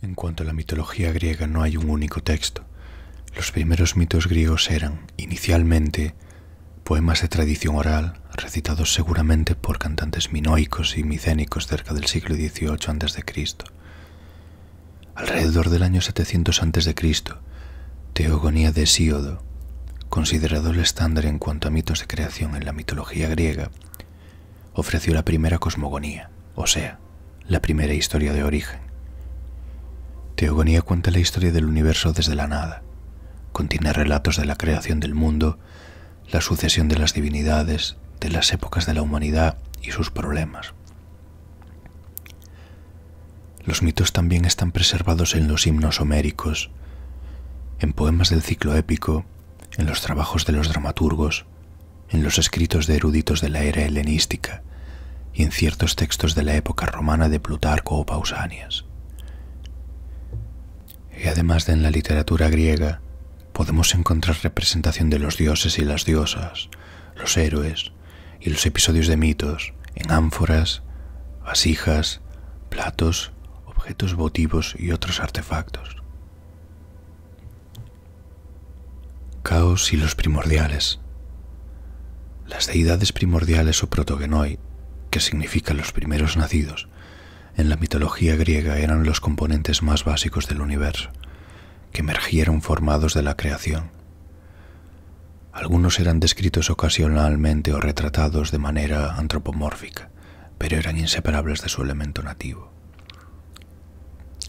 En cuanto a la mitología griega no hay un único texto. Los primeros mitos griegos eran, inicialmente, poemas de tradición oral, recitados seguramente por cantantes minoicos y micénicos cerca del siglo XVIII a.C. Alrededor del año 700 a.C., Teogonía de Hesíodo, considerado el estándar en cuanto a mitos de creación en la mitología griega, ofreció la primera cosmogonía, o sea, la primera historia de origen. Teogonía cuenta la historia del universo desde la nada. Contiene relatos de la creación del mundo, la sucesión de las divinidades, de las épocas de la humanidad y sus problemas. Los mitos también están preservados en los himnos homéricos, en poemas del ciclo épico, en los trabajos de los dramaturgos, en los escritos de eruditos de la era helenística y en ciertos textos de la época romana de Plutarco o Pausanias. Y además de en la literatura griega, podemos encontrar representación de los dioses y las diosas, los héroes y los episodios de mitos en ánforas, vasijas, platos, objetos votivos y otros artefactos. Caos y los primordiales. Las deidades primordiales o protogenoi, que significan los primeros nacidos, en la mitología griega eran los componentes más básicos del universo, que emergieron formados de la creación. Algunos eran descritos ocasionalmente o retratados de manera antropomórfica, pero eran inseparables de su elemento nativo.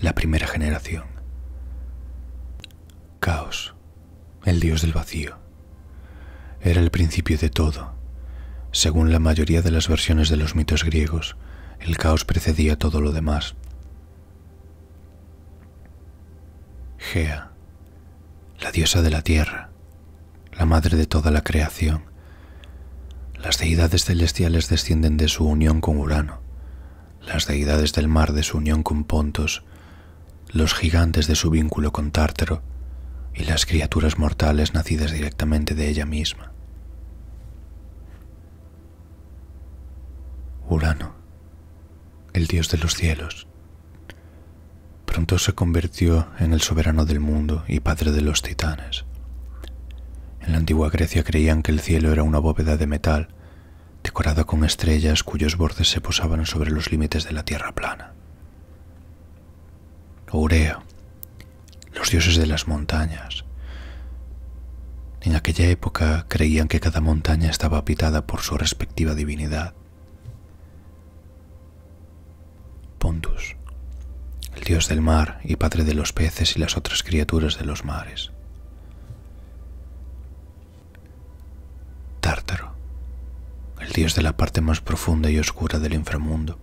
La primera generación. Caos, el dios del vacío. Era el principio de todo. Según la mayoría de las versiones de los mitos griegos, el caos precedía todo lo demás. Gea, la diosa de la tierra, la madre de toda la creación. Las deidades celestiales descienden de su unión con Urano, las deidades del mar de su unión con Pontos, los gigantes de su vínculo con Tártaro y las criaturas mortales nacidas directamente de ella misma. Urano, el dios de los cielos, Pronto se convirtió en el soberano del mundo y padre de los titanes. En la antigua Grecia creían que el cielo era una bóveda de metal, decorada con estrellas cuyos bordes se posaban sobre los límites de la tierra plana. Urea, los dioses de las montañas. En aquella época creían que cada montaña estaba habitada por su respectiva divinidad. Pontus, el dios del mar y padre de los peces y las otras criaturas de los mares. Tártaro, el dios de la parte más profunda y oscura del inframundo.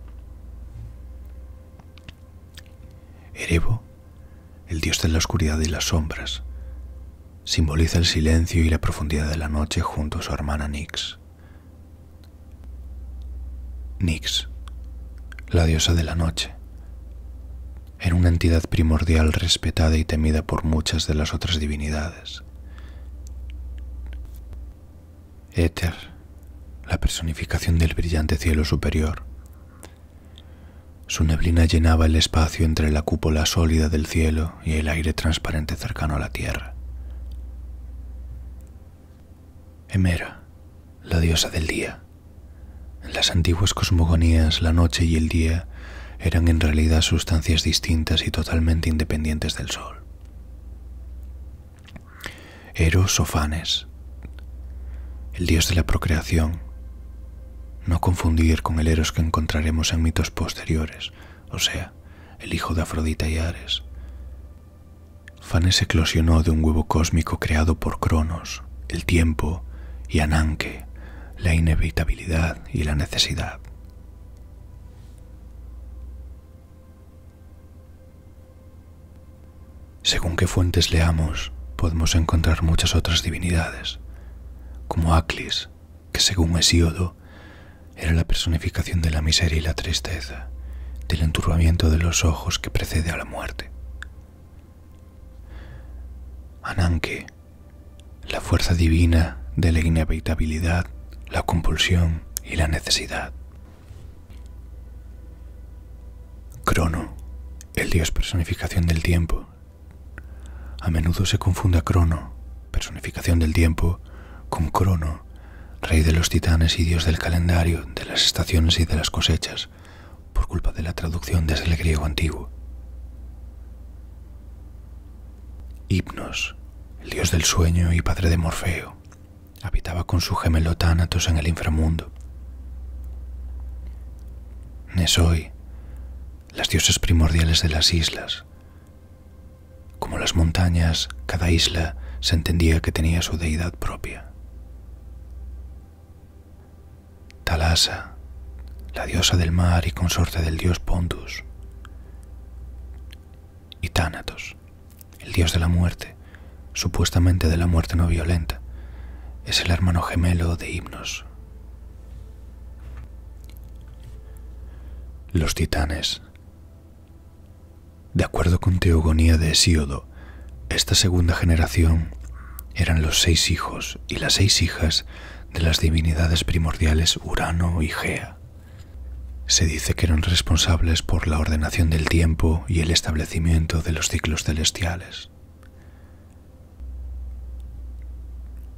Erebo, el dios de la oscuridad y las sombras, simboliza el silencio y la profundidad de la noche junto a su hermana Nix. Nix, la diosa de la noche, era una entidad primordial respetada y temida por muchas de las otras divinidades. Éter, la personificación del brillante cielo superior. Su neblina llenaba el espacio entre la cúpula sólida del cielo y el aire transparente cercano a la tierra. Hemera, la diosa del día. En las antiguas cosmogonías la noche y el día eran en realidad sustancias distintas y totalmente independientes del sol. Eros o Fanes, el dios de la procreación, no confundir con el Eros que encontraremos en mitos posteriores, o sea, el hijo de Afrodita y Ares. Fanes eclosionó de un huevo cósmico creado por Cronos, el tiempo y Ananke, la inevitabilidad y la necesidad. Según qué fuentes leamos, podemos encontrar muchas otras divinidades, como Aclis, que según Hesíodo era la personificación de la miseria y la tristeza, del enturbamiento de los ojos que precede a la muerte. Ananke, la fuerza divina de la inevitabilidad, la compulsión y la necesidad. Crono, el dios personificación del tiempo. A menudo se confunde a Crono personificación del tiempo, con Crono, rey de los titanes y dios del calendario, de las estaciones y de las cosechas, por culpa de la traducción desde el griego antiguo. Hipnos, el dios del sueño y padre de Morfeo, habitaba con su gemelo Tánatos en el inframundo. Nesoi, las diosas primordiales de las islas, como las montañas, cada isla se entendía que tenía su deidad propia. Talasa, la diosa del mar y consorte del dios Pontus, y Tánatos, el dios de la muerte, supuestamente de la muerte no violenta, es el hermano gemelo de Himnos. Los titanes. De acuerdo con Teogonía de Hesíodo, esta segunda generación eran los seis hijos y las seis hijas de las divinidades primordiales Urano y Gea. Se dice que eran responsables por la ordenación del tiempo y el establecimiento de los ciclos celestiales.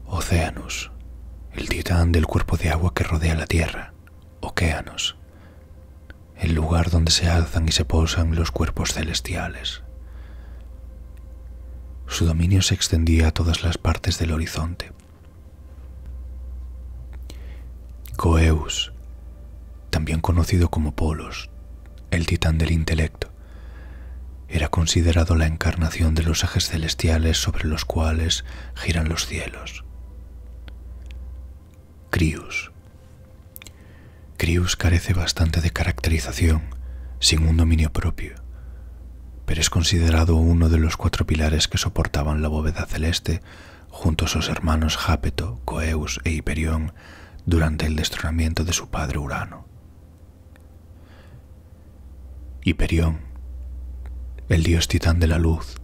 Oceanus, el titán del cuerpo de agua que rodea la Tierra, Océanos, el lugar donde se alzan y se posan los cuerpos celestiales. Su dominio se extendía a todas las partes del horizonte. Coeus, también conocido como Polos, el titán del intelecto, era considerado la encarnación de los ejes celestiales sobre los cuales giran los cielos. Crius. Crius carece bastante de caracterización, sin un dominio propio, pero es considerado uno de los cuatro pilares que soportaban la bóveda celeste junto a sus hermanos Jápeto, Coeus e Hiperión durante el destronamiento de su padre Urano. Hiperión, el dios titán de la luz,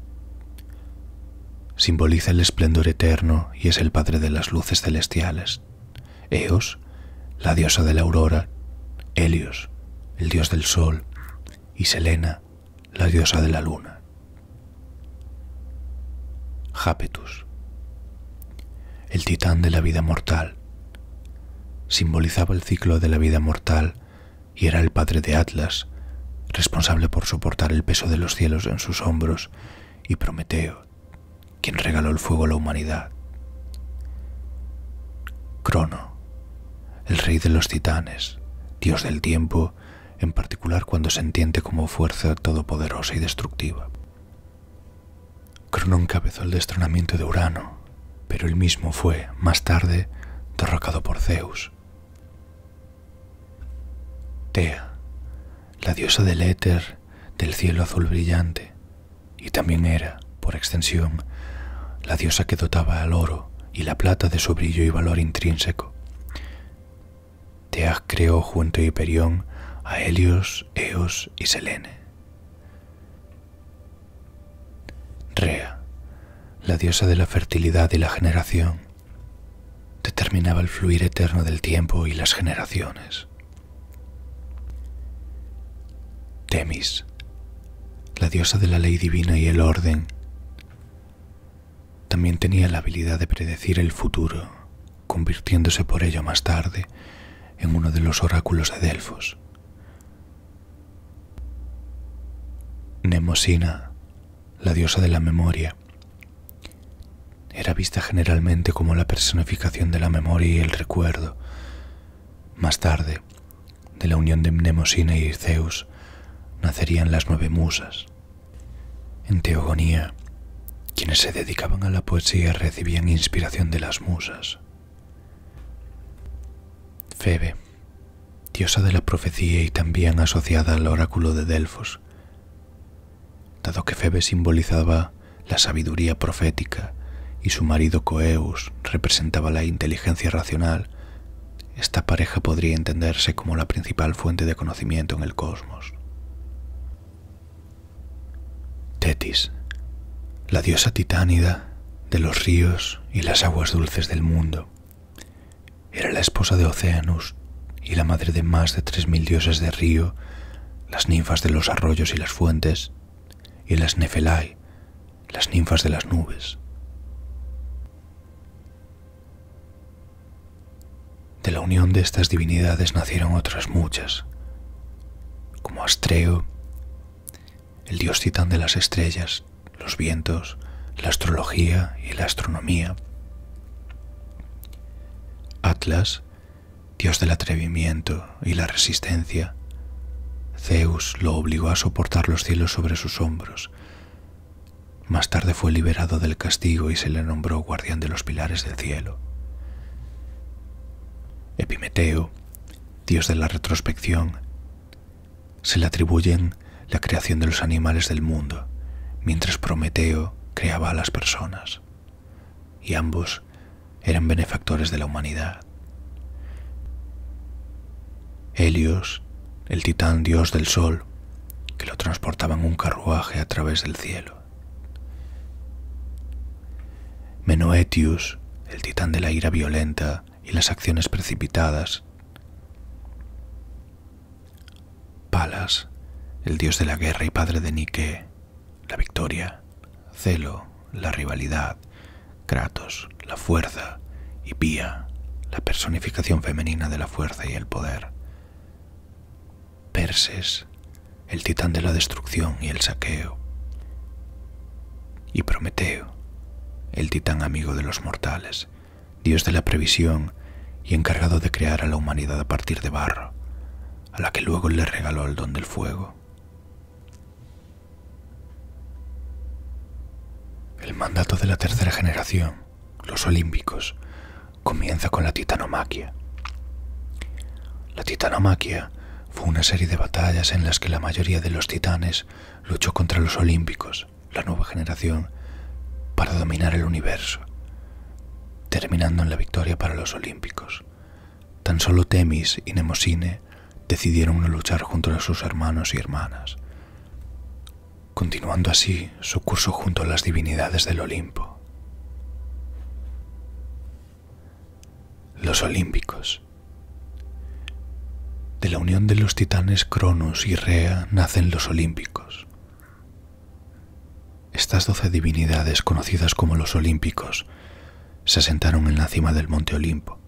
simboliza el esplendor eterno y es el padre de las luces celestiales. Eos, la diosa de la aurora, Helios, el dios del sol, y Selena, la diosa de la luna. Jápetus, el titán de la vida mortal, Simbolizaba el ciclo de la vida mortal y era el padre de Atlas, responsable por soportar el peso de los cielos en sus hombros, y Prometeo, quien regaló el fuego a la humanidad. Crono, el rey de los titanes, dios del tiempo, en particular cuando se entiende como fuerza todopoderosa y destructiva. Crono encabezó el destronamiento de Urano, pero él mismo fue, más tarde, derrocado por Zeus. Tea, la diosa del éter, del cielo azul brillante, y también era, por extensión, la diosa que dotaba al oro y la plata de su brillo y valor intrínseco. Teas creó junto a Hiperión a Helios, Eos y Selene. Rea, la diosa de la fertilidad y la generación, determinaba el fluir eterno del tiempo y las generaciones. Temis, la diosa de la ley divina y el orden, también tenía la habilidad de predecir el futuro, convirtiéndose por ello más tarde en uno de los oráculos de Delfos. Nemosina, la diosa de la memoria, era vista generalmente como la personificación de la memoria y el recuerdo. Más tarde, de la unión de Nemosina y Zeus, nacerían las nueve musas. En Teogonía, quienes se dedicaban a la poesía recibían inspiración de las musas. Febe, diosa de la profecía y también asociada al oráculo de Delfos, dado que Febe simbolizaba la sabiduría profética y su marido Coeus representaba la inteligencia racional, esta pareja podría entenderse como la principal fuente de conocimiento en el cosmos. Tetis, la diosa titánida de los ríos y las aguas dulces del mundo, era la esposa de Oceanus y la madre de más de tres mil dioses de río, las ninfas de los arroyos y las fuentes, y las Nefelai, las ninfas de las nubes. De la unión de estas divinidades nacieron otras muchas, como Astreo, el dios titán de las estrellas, los vientos, la astrología y la astronomía. Atlas, dios del atrevimiento y la resistencia, Zeus lo obligó a soportar los cielos sobre sus hombros. Más tarde fue liberado del castigo y se le nombró guardián de los pilares del cielo. Epimeteo, dios de la retrospección, se le atribuyen la creación de los animales del mundo, mientras Prometeo creaba a las personas, y ambos eran benefactores de la humanidad. Helios, el titán dios del sol, que lo transportaba en un carruaje a través del cielo. Menoetius, el titán de la ira violenta y las acciones precipitadas. Palas, el dios de la guerra y padre de Nike, la victoria. Celo, la rivalidad. Kratos, la fuerza. Y Pía, la personificación femenina de la fuerza y el poder. Perses, el titán de la destrucción y el saqueo, y Prometeo, el titán amigo de los mortales, dios de la previsión y encargado de crear a la humanidad a partir de barro, a la que luego le regaló el don del fuego. El mandato de la tercera generación, los olímpicos, comienza con la titanomaquia. La titanomaquia fue una serie de batallas en las que la mayoría de los titanes luchó contra los olímpicos, la nueva generación, para dominar el universo, terminando en la victoria para los olímpicos. Tan solo Temis y Nemosine decidieron no luchar junto a sus hermanos y hermanas, continuando así su curso junto a las divinidades del Olimpo. Los olímpicos. De la unión de los titanes Cronos y Rea nacen los olímpicos. Estas doce divinidades conocidas como los olímpicos se asentaron en la cima del monte Olimpo.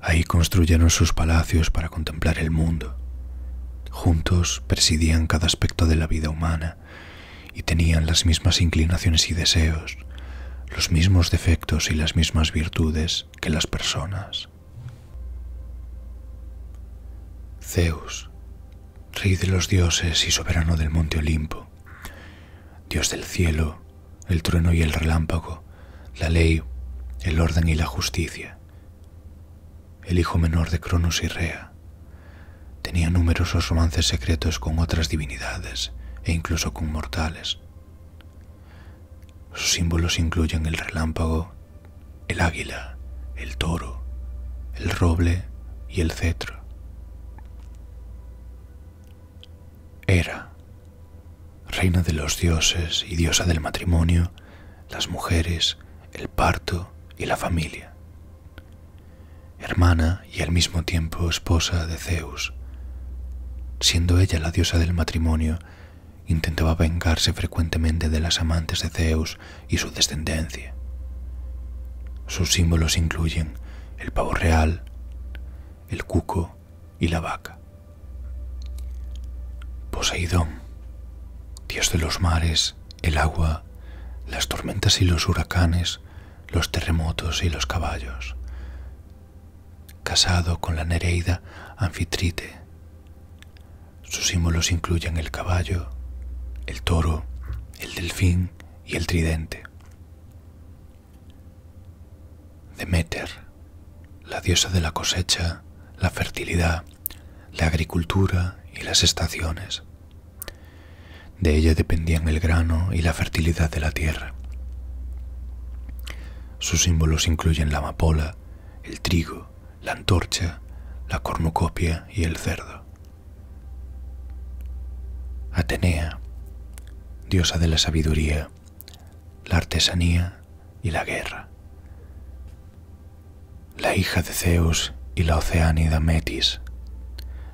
Ahí construyeron sus palacios para contemplar el mundo Juntos presidían cada aspecto de la vida humana y tenían las mismas inclinaciones y deseos, los mismos defectos y las mismas virtudes que las personas. Zeus, rey de los dioses y soberano del monte Olimpo, dios del cielo, el trueno y el relámpago, la ley, el orden y la justicia el hijo menor de Cronos y Rea, tenía numerosos romances secretos con otras divinidades e incluso con mortales. Sus símbolos incluyen el relámpago, el águila, el toro, el roble y el cetro. Era, reina de los dioses y diosa del matrimonio, las mujeres, el parto y la familia. Hermana y al mismo tiempo esposa de Zeus, siendo ella la diosa del matrimonio, intentaba vengarse frecuentemente de las amantes de Zeus y su descendencia. Sus símbolos incluyen el pavo real, el cuco y la vaca. Poseidón, dios de los mares, el agua, las tormentas y los huracanes, los terremotos y los caballos. Casado con la Nereida Anfitrite. Sus símbolos incluyen el caballo, el toro, el delfín y el tridente. Demeter, la diosa de la cosecha, la fertilidad, la agricultura y las estaciones. De ella dependían el grano y la fertilidad de la tierra. Sus símbolos incluyen la amapola, el trigo, la antorcha, la cornucopia y el cerdo. Atenea, diosa de la sabiduría, la artesanía y la guerra. La hija de Zeus y la oceánida Metis.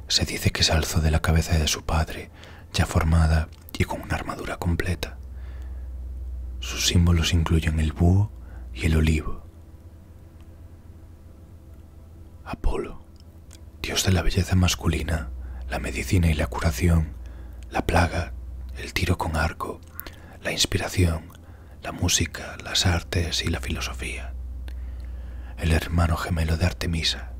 Se dice que se alzó de la cabeza de su padre, ya formada y con una armadura completa. Sus símbolos incluyen el búho y el olivo. Apolo, dios de la belleza masculina, la medicina y la curación, la plaga, el tiro con arco, la inspiración, la música, las artes y la filosofía. El hermano gemelo de Artemisa.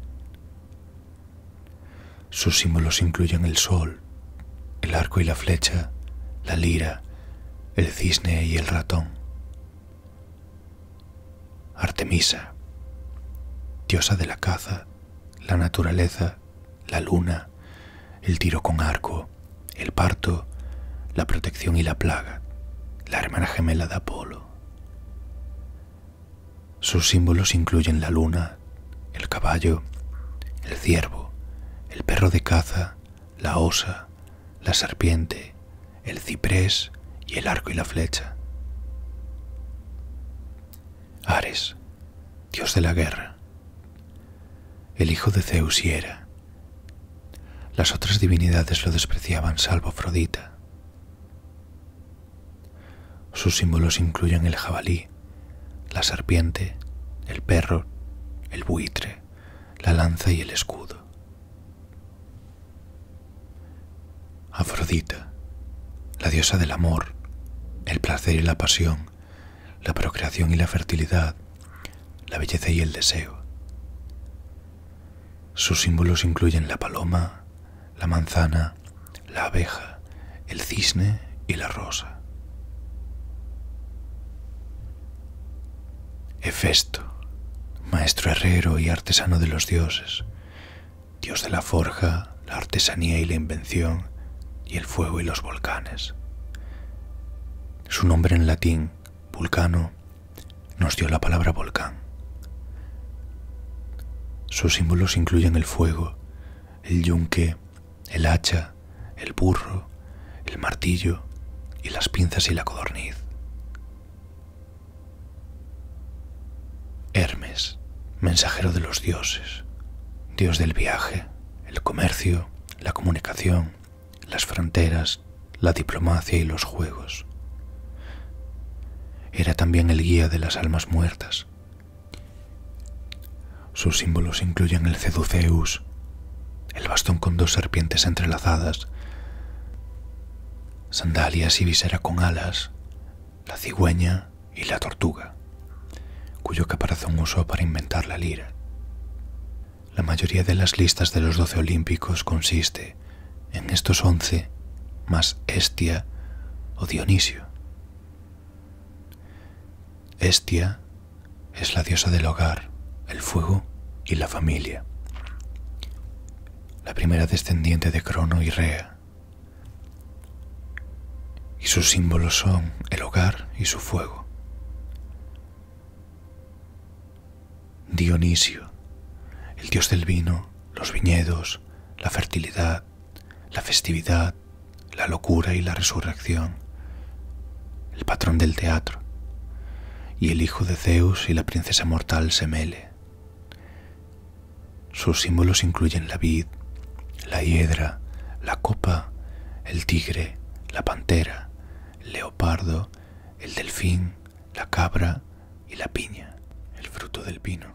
Sus símbolos incluyen el sol, el arco y la flecha, la lira, el cisne y el ratón. Artemisa, diosa de la caza, la naturaleza la luna, el tiro con arco, el parto, la protección y la plaga, la hermana gemela de Apolo. Sus símbolos incluyen la luna, el caballo, el ciervo, el perro de caza, la osa, la serpiente, el ciprés y el arco y la flecha. Ares, dios de la guerra el hijo de Zeus y era. Las otras divinidades lo despreciaban salvo Afrodita. Sus símbolos incluyen el jabalí, la serpiente, el perro, el buitre, la lanza y el escudo. Afrodita, la diosa del amor, el placer y la pasión, la procreación y la fertilidad, la belleza y el deseo. Sus símbolos incluyen la paloma, la manzana, la abeja, el cisne y la rosa. Hefesto, maestro herrero y artesano de los dioses, dios de la forja, la artesanía y la invención, y el fuego y los volcanes. Su nombre en latín, vulcano, nos dio la palabra volcán. Sus símbolos incluyen el fuego, el yunque, el hacha, el burro, el martillo y las pinzas y la codorniz. Hermes, mensajero de los dioses, dios del viaje, el comercio, la comunicación, las fronteras, la diplomacia y los juegos. Era también el guía de las almas muertas. Sus símbolos incluyen el ceduceus, el bastón con dos serpientes entrelazadas, sandalias y visera con alas, la cigüeña y la tortuga, cuyo caparazón usó para inventar la lira. La mayoría de las listas de los doce olímpicos consiste en estos once más Estia o Dionisio. Estia es la diosa del hogar, el fuego y la familia, la primera descendiente de Crono y Rea, y sus símbolos son el hogar y su fuego. Dionisio, el dios del vino, los viñedos, la fertilidad, la festividad, la locura y la resurrección, el patrón del teatro, y el hijo de Zeus y la princesa mortal Semele. Sus símbolos incluyen la vid, la hiedra, la copa, el tigre, la pantera, el leopardo, el delfín, la cabra y la piña, el fruto del vino.